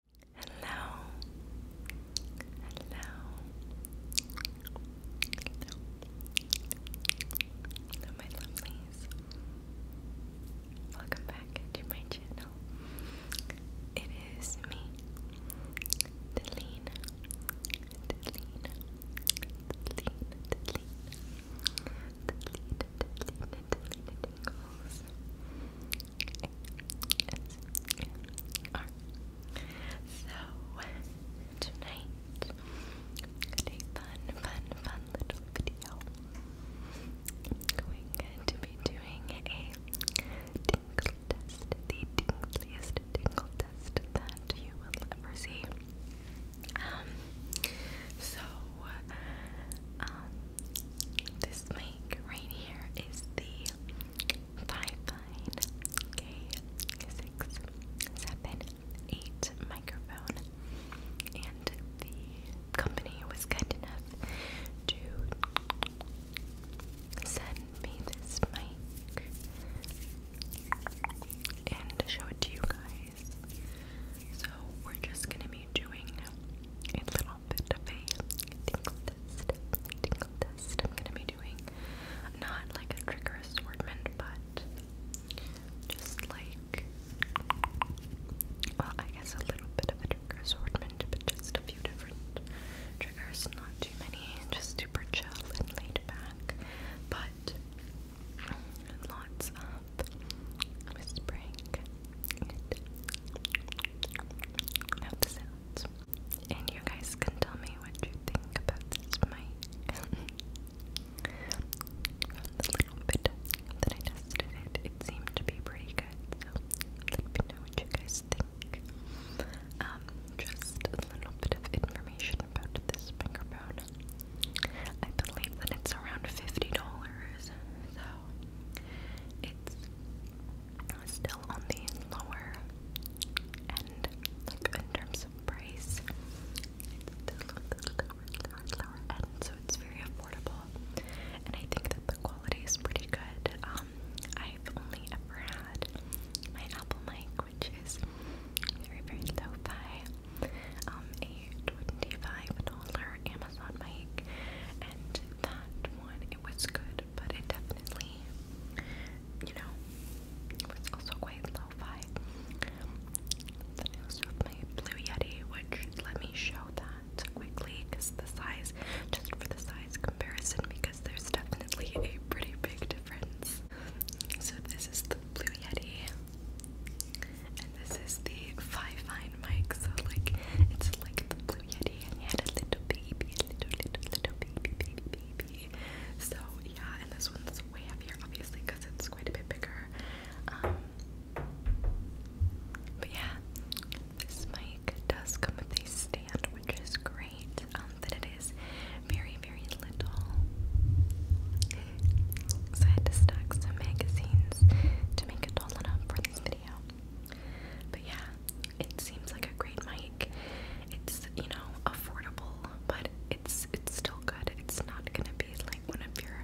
Hello. Hello. Hello. my lovelies. Welcome back to my channel. It is me, Delina. Delina. Delina. Delina. Delina. Delina. Delina. Delina. Delina. S-M-R. So, tonight, a fun, fun, fun little video. I'm going to be doing a tingle test, the tingliest tingle test that you will ever see. Um, so, uh, this mic right here is the Five Fine K678 microphone, and the company was kind enough to send me this mic and show it to you guys. So, we're just gonna be doing a little tingle test. Tingle test. I'm gonna be doing not like a trigger assortment, but just like well, I guess a little bit of a trigger assortment, but just a few different triggers, not too many, just super chill and laid back, but lots of whispering and you guys can tell me what you think about this mic. the I tested it, it seemed to be pretty good. let me know what you guys think. Um, just a little bit of information about this microphone. I believe that it's around fifty dollars, so it's still on the lower end, like in terms of price. still on the lower, so it's very affordable. And I think that the quality is pretty good. Um, I've only ever had my Apple mic, which is very, very lo-fi. Um, a $25 Amazon Amazon mic, and that one it was good, but it definitely, you know, was also quite lo-fi. Then also my Blue Yeti, which let me show that quickly, because the size, just for the size comparison, because there's definitely a pretty big difference. So this is the Blue Yeti. And this is the Five Fine mic, so like it's like the Blue Yeti, and he had a little baby, a little, little, little baby, baby, baby. So yeah, and this one's way heavier, obviously, because it's quite a bit bigger. Um, but yeah, this mic does come with a stand, which is great. that um, it is very, very little. So I had to stack some magazines to make a doll up for this video. But yeah, it seems like a great mic. It's, you know, affordable, but it's it's still good. It's not gonna be like one of your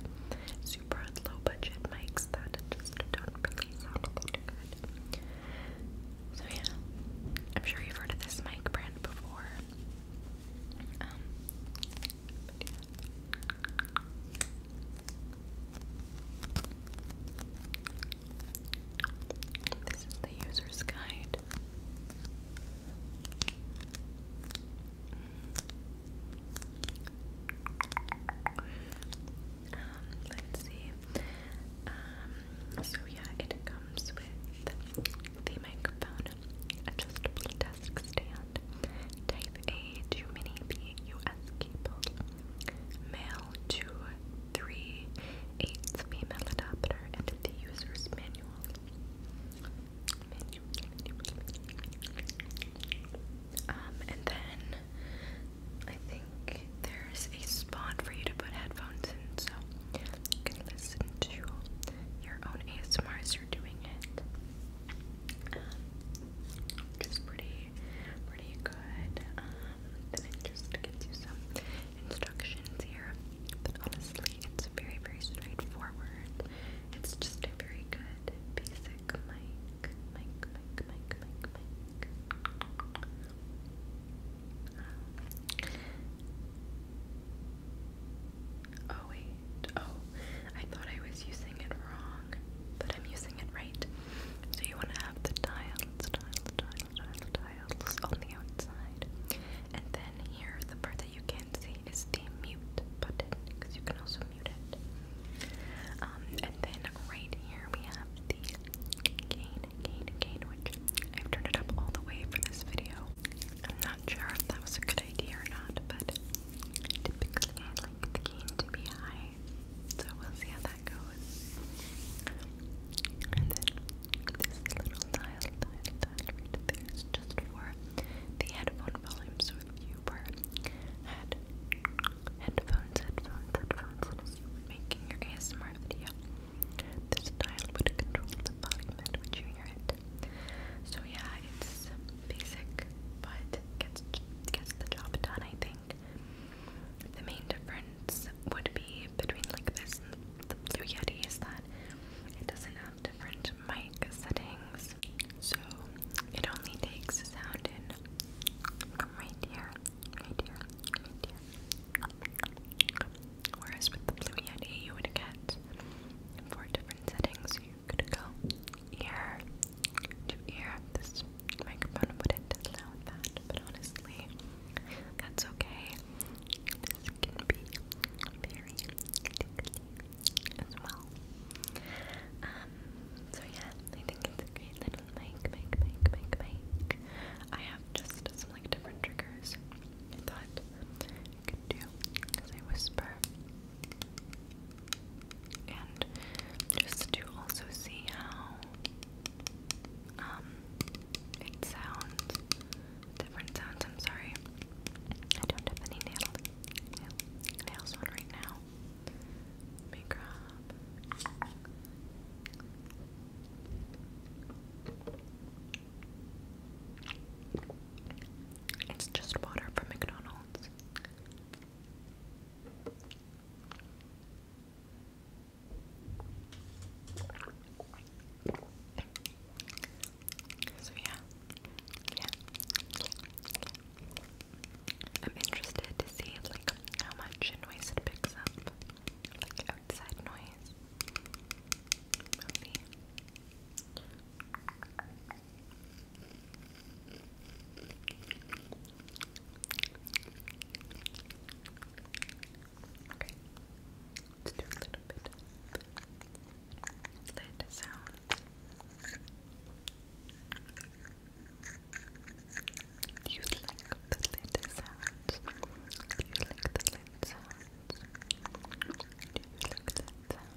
super low budget mics that just don't sound good. So yeah, I'm sure you've heard of this mic brand before. Um, this is the user's guide. Um, let's see. Um, so yeah, it comes with the microphone, adjustable desk stand, Type A to Mini USB keyboard. Male female adapter and the user's manual. Um, and then I think there's a spot for you to put headphones in so you can listen to your own ASMR you're doing it um, pretty, pretty good. then um, it just gives you some instructions here, but honestly, it's very, very straightforward. It's just a very good basic mic, mic, mic, mic, mic, mic. Um, oh wait, Oh, I thought I was using it wrong, but I'm using it right. So you want to have the tiles, tiles, tiles, tiles, on the outside. And then here, the part that you can't see is the mute button, because you can also mute it. Um, and then right here we have the gain, gain, gain, which I've turned it up all the way for this video. I'm not sure if that was a good idea or not, but typically keen to be high. So we'll see how that goes. And then this little dial, dial, there is just for the headphone volume. So if you were had headphones, headphones, headphones, making your ASMR video, this dial would control the volume at which you So yeah, it's basic, but gets the job done. I think the main difference would be between like this and the Blue Yeti is that it doesn't have different mic settings, so it only takes sound in right here, right here, right here. Whereas with the Blue Yeti, you would get four different settings i go ear to ear. This microphone wouldn't allow that, but honestly, that's okay. This can be very tickling as well. Um, so yeah, I think it's a great little mic, mic, mic, mic, mic. I have just some like different triggers I thought I could do as I whisper and just to also see how um it sounds different sounds. I'm sorry, I don't have any nailed nails on right now. Let It's just water from McDonald's sounds. So yeah, yeah, yeah, yeah. I'm interested to see like how much noise it picks up, like outside noise. We'll see. Okay, let's do a little bit lid sound. you like the lid sounds? you like the lid sounds? you like the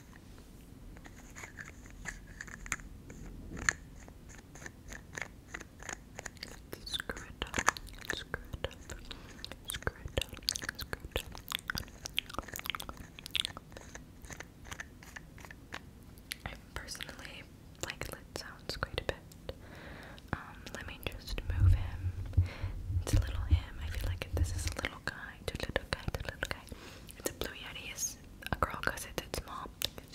Screw it up, screw it up, screw it up, screw it up. I personally like lit sounds quite a bit. Um, let me just move him. It's a little him. I feel like this is a little guy, it's little guy, it's little guy. It's a blue yeti a girl because it's its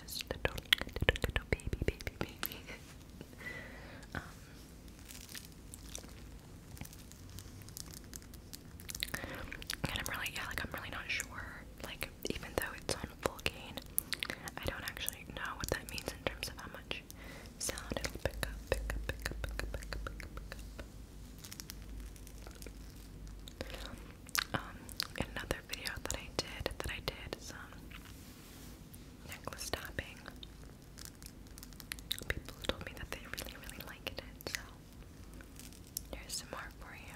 just a little, little, little baby, baby, baby. um, and I'm really, yeah, like I'm really not sure. Like even though it's on full gain, I don't actually know what that means in terms of how much sound it'll Pick up um, another video that I did, that I did some necklace tapping. People told me that they really, really liked it, so here's some more for you.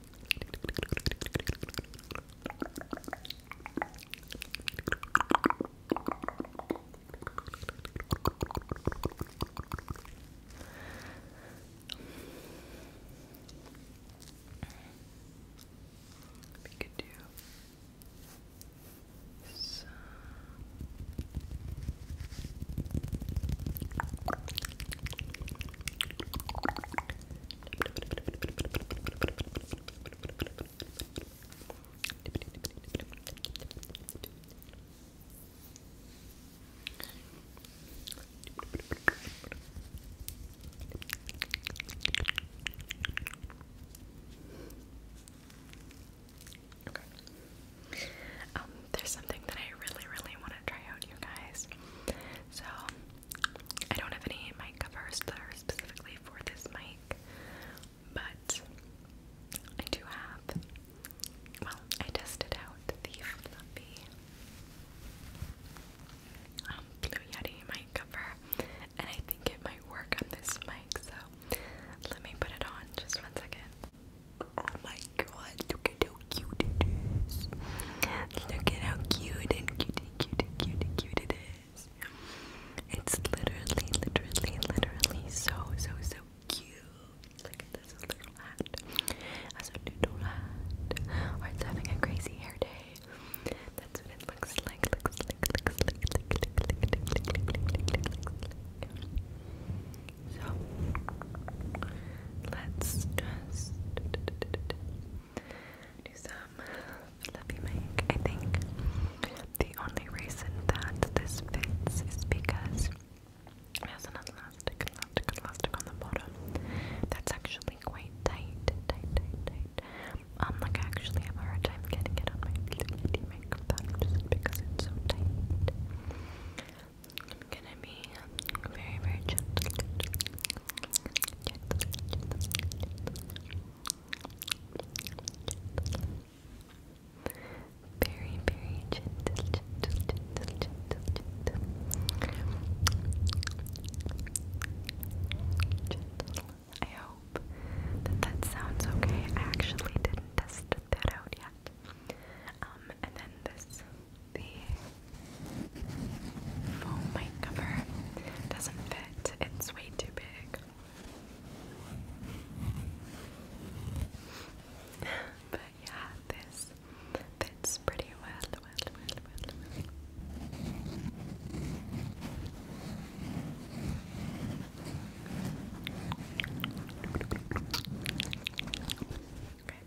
We could do some um, there's something that I really, really want to try out, you guys. So I don't have any mic covers that are specifically for this mic, but I do have. Well, I tested out the um, Blue Yeti mic cover, and I think it might work on this mic. So let me put it on just one second. Oh my god, look at how cute it is. Look at how cute and cute and cute and cute it is. It's literally, literally, literally so, so, so cute. Look at this little hat. As a noodle hat. Or it's having a crazy hair day. That's what it looks like. So let's just do some levy make. I think the only reason that this fits is because it has an elastic, elastic, elastic on the bottom. That's actually quite tight, tight, tight, tight. Um, like actually have a hard time getting it on my makeup because it's so tight. I'm gonna be very, very gentle. Very, very gentle, gentle, gentle, gentle, I hope that that sounds okay. I actually didn't test that out um, and then this, the foam mic cover doesn't fit, it's way too big. but yeah, this fits pretty well,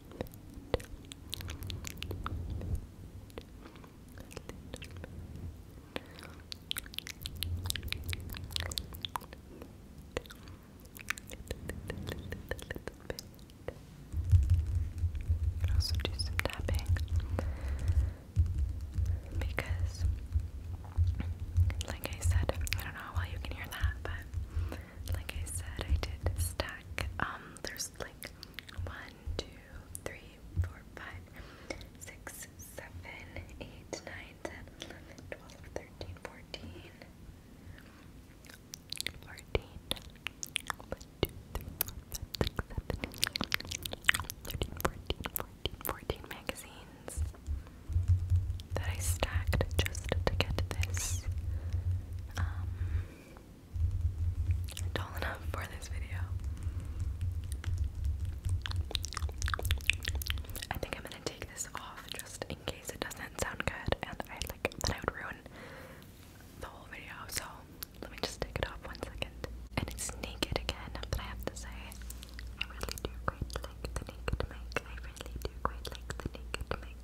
You can also tapping because, like I said, I don't know how well you can hear that, but like I said, I did stack. Um, there's like one, two, three, four, five, six, seven, eight, nine, ten, eleven, twelve, thirteen, fourteen. 14 1, 2, 3, 4, 5, 6, 7, 13, 14, 14, 14 magazines that I stacked just to get this um, tall enough for this video. I think I'm gonna take this off just in case it doesn't sound good and I like that I would ruin the whole video, so let me just take it off one second. And it's naked again, but I have to say I really do quite like the naked mic. I really do quite like the naked mic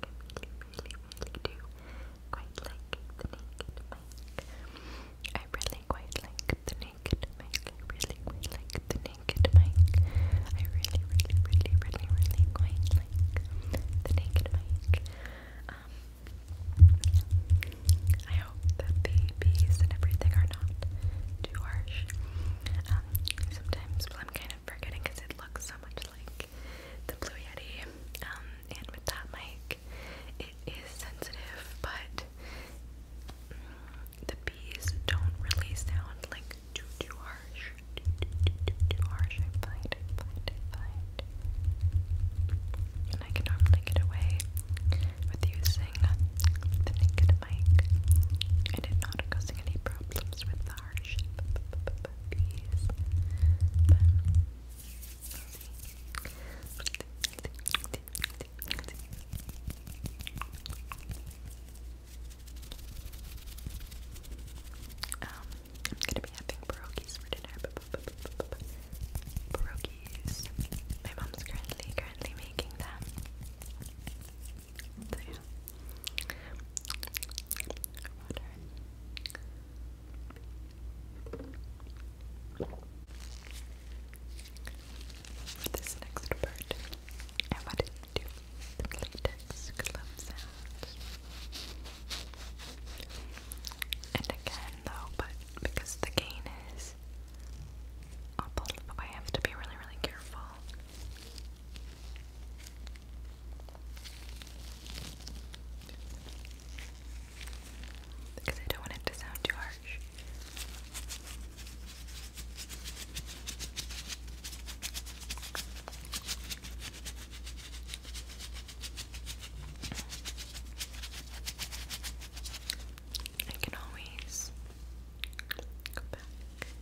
really, really do quite like the naked mic. I really quite like the naked mic. I really, really really, really, really, quite like the naked mic. Um, I hope that the bees and everything are not too harsh. Um, sometimes, well, I'm kind of forgetting it looks so much like the Blue Yeti. Um, and with that mic, it is sensitive, but mm, the bees don't really sound like too too harsh. Too too, harsh. I find, I find, I find. And I can normally get away with using the naked mic. I did not causing any problems with that. I'm gonna be having pierogies for dinner. Pierogies. My mom's currently currently making them. So yeah. Water. This next part, I wanted to do the latex glove And again though, but because the gain is I'll pull it, but I to be really, really careful. Because I don't want it to sound too harsh. I can always go back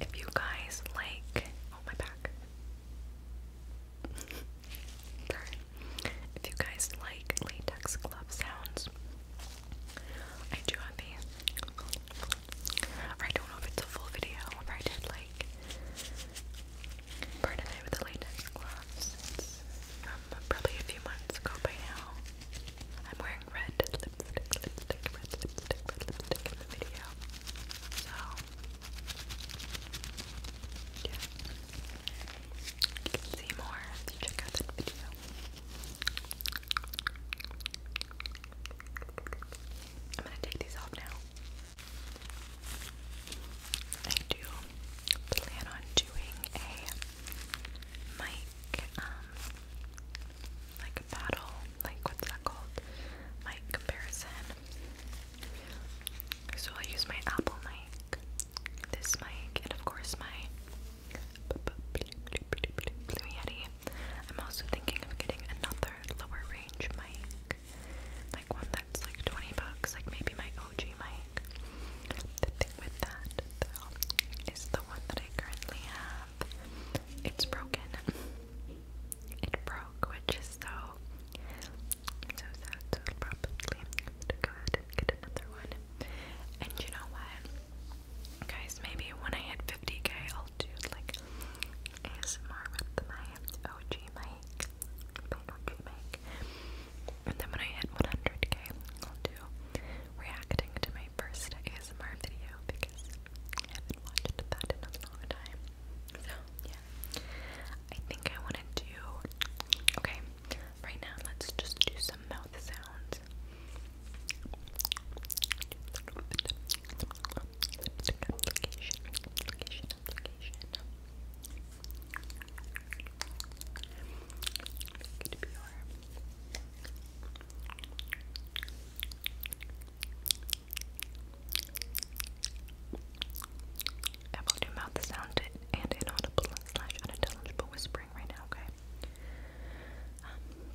If you guys like, oh my back. Sorry. If you guys like latex glove sounds, I do have I don't know if it's a full video I did like part of it with the latex gloves. Um, probably a few months ago by now. I'm wearing red lipstick, lipstick, red lipstick, red lipstick in the video. So yeah. You can see more if you check out that video. I'm gonna take these off now. I do plan on doing a mic, um, like battle, like what's that called? Mic comparison. So I will use my Apple mic, this mic, and of course my I'm also thinking of getting another lower range mic, like one that's like 20 bucks, like maybe my OG mic. The thing with that, though, is the one that I currently have, it's broken. It broke, which is so, so sad, so probably to go ahead and get another one. And you know what? Guys, maybe when I hit 50k, I'll do like ASMR with my OG mic, my OG mic, and then when I hit 100k, I'll do reacting to my first ASMR video because I haven't watched that in a long time. So yeah, I think I want to do. Okay, right now let's just do some mouth sounds. Lipstick application, I will do mouth sound and inaudible slash unintelligible whispering right now, okay? Um,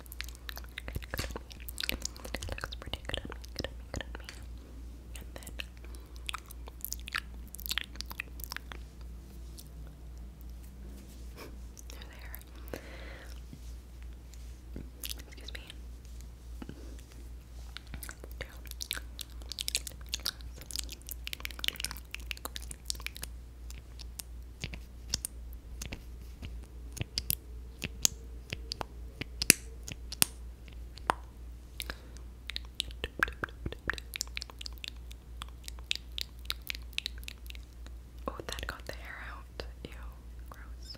good on me. It looks pretty good on me, good on me, good on me. And then they're there. Excuse me. Let's do. Oh, that got the hair out. Ew, gross.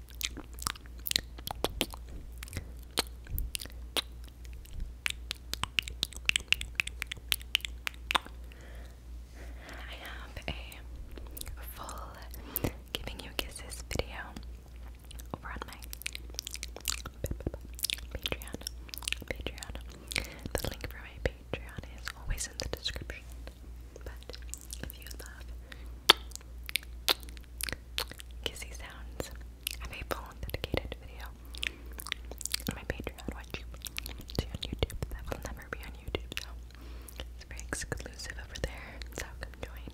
I have a full giving you kisses video over on my Patreon. Patreon. The link for my Patreon is always in the description. But if you love kissy sounds. I made a full dedicated video on my Patreon, which you see on YouTube. That will never be on YouTube, so it's very exclusive over there. So come join.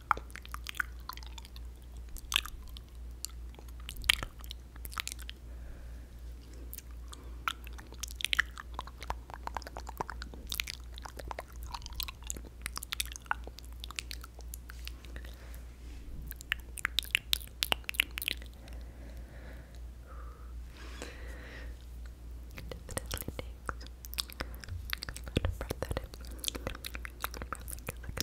It definitely takes a lot of breath out of you. Like,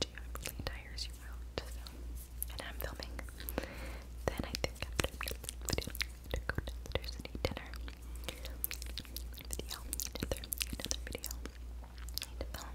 do you and I'm filming. Then I think after the video, I'm to go downstairs dinner. Video, another, another video. Um,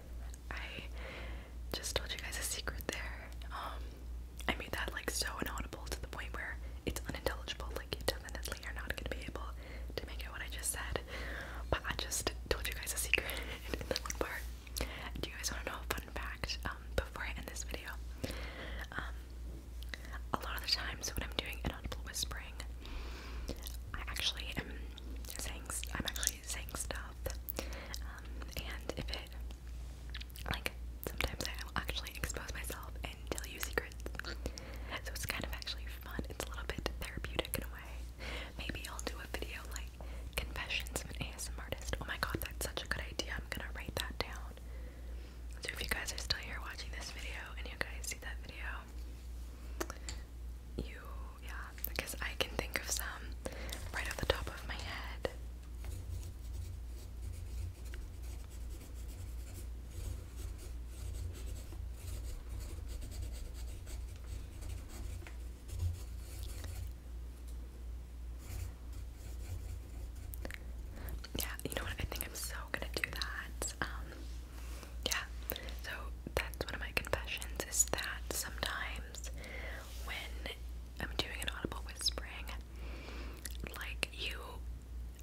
I just told you guys a secret there. Um, I made that like so inaudible to the point where it's unintelligible. Like you definitely are not gonna be able to make out what I just said. But I just told you guys a secret in that one part. Do you guys wanna know a fun fact? Um, before I end this video, um, a lot of the times when I'm doing inaudible whispering, I actually am saying I'm actually saying stuff, um, and if it like sometimes I will actually expose myself and tell you secrets, so it's kind of actually fun. It's a little bit therapeutic in a way. Maybe I'll do a video like confessions of an ASMR artist. Oh my god, that's such a good idea. I'm gonna write that down. So if you guys are still here watching this video and you guys see that video, you, yeah, because I can think of some right off the top of my head. Yeah, you know what? I think I'm so gonna do that. Um, yeah, so that's one of my confessions is that sometimes when I'm doing an audible whispering, like you,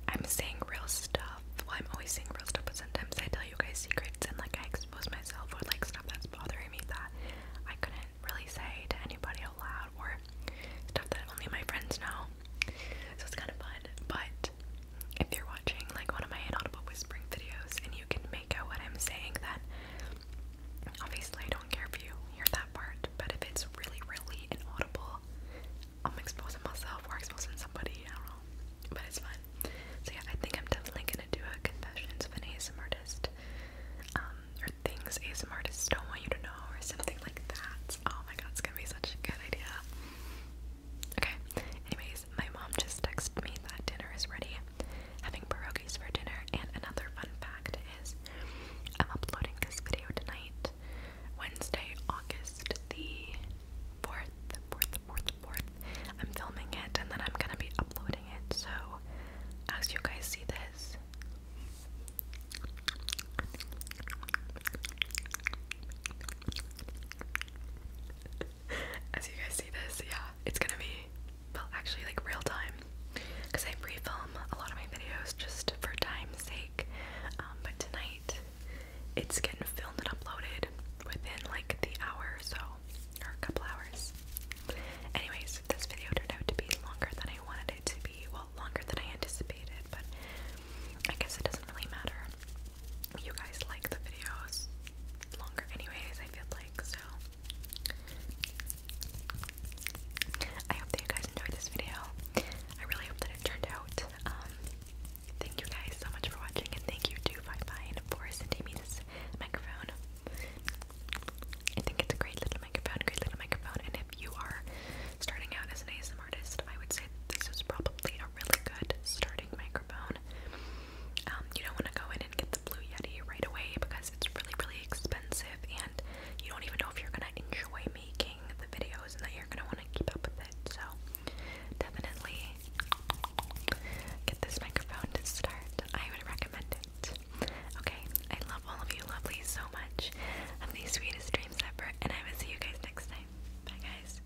I'm saying real stuff. Well, I'm always saying real stuff, but sometimes I tell you guys secrets and like I expose myself or like stuff that's bothering me that I couldn't really say to anybody aloud or stuff that only my friends know. So it's kind of fun, but if you're watching like one of my inaudible whispering videos and you can make out what I'm saying, then obviously I don't care if you hear that part, but if it's really, really inaudible, I'm exposing myself or exposing somebody, I don't know. But it's fun. So yeah, I think I'm definitely gonna do a confessions of an ASMR artist. Um, or things ASMR artists don't want you to know or something like that. Oh my god, it's gonna be such a good idea. Okay, anyways, my mom just texted me that dinner is ready. Having pierogies for dinner, and another fun fact is I'm uploading this video tonight, Wednesday, August the 4th, 4th, 4th, 4th. I'm filming it and then I'm gonna be uploading it, so as you guys see this, as you guys see this, yeah, it's gonna be well, actually, like real time, because I pre-film a lot of my videos just for time's sake. Um, but tonight, it's getting filmed and uploaded within like the hour or so, or a couple hours. Anyways, this video turned out to be longer than I wanted it to be. Well, longer than I anticipated, but I guess it doesn't really matter you guys like the videos longer anyways, I feel like, so I hope that you guys enjoyed this video. I really hope that it turned out. Um, thank you guys so much for watching, and thank you to Five Fine for sending me this microphone. I think it's a great little microphone, great little microphone, and if you are starting out as an ASMR artist, I would say this is probably a really good starting microphone. Um, you don't want to go in and get the Blue Yeti right away because it's really, really expensive, and you don't even know if you're gonna enjoy making the videos and that you're gonna want to keep up with it. So, definitely get this microphone to start. I would recommend it. Okay, I love all of you lovely so much. Have the sweetest dreams ever, and I will see you guys next time. Bye, guys.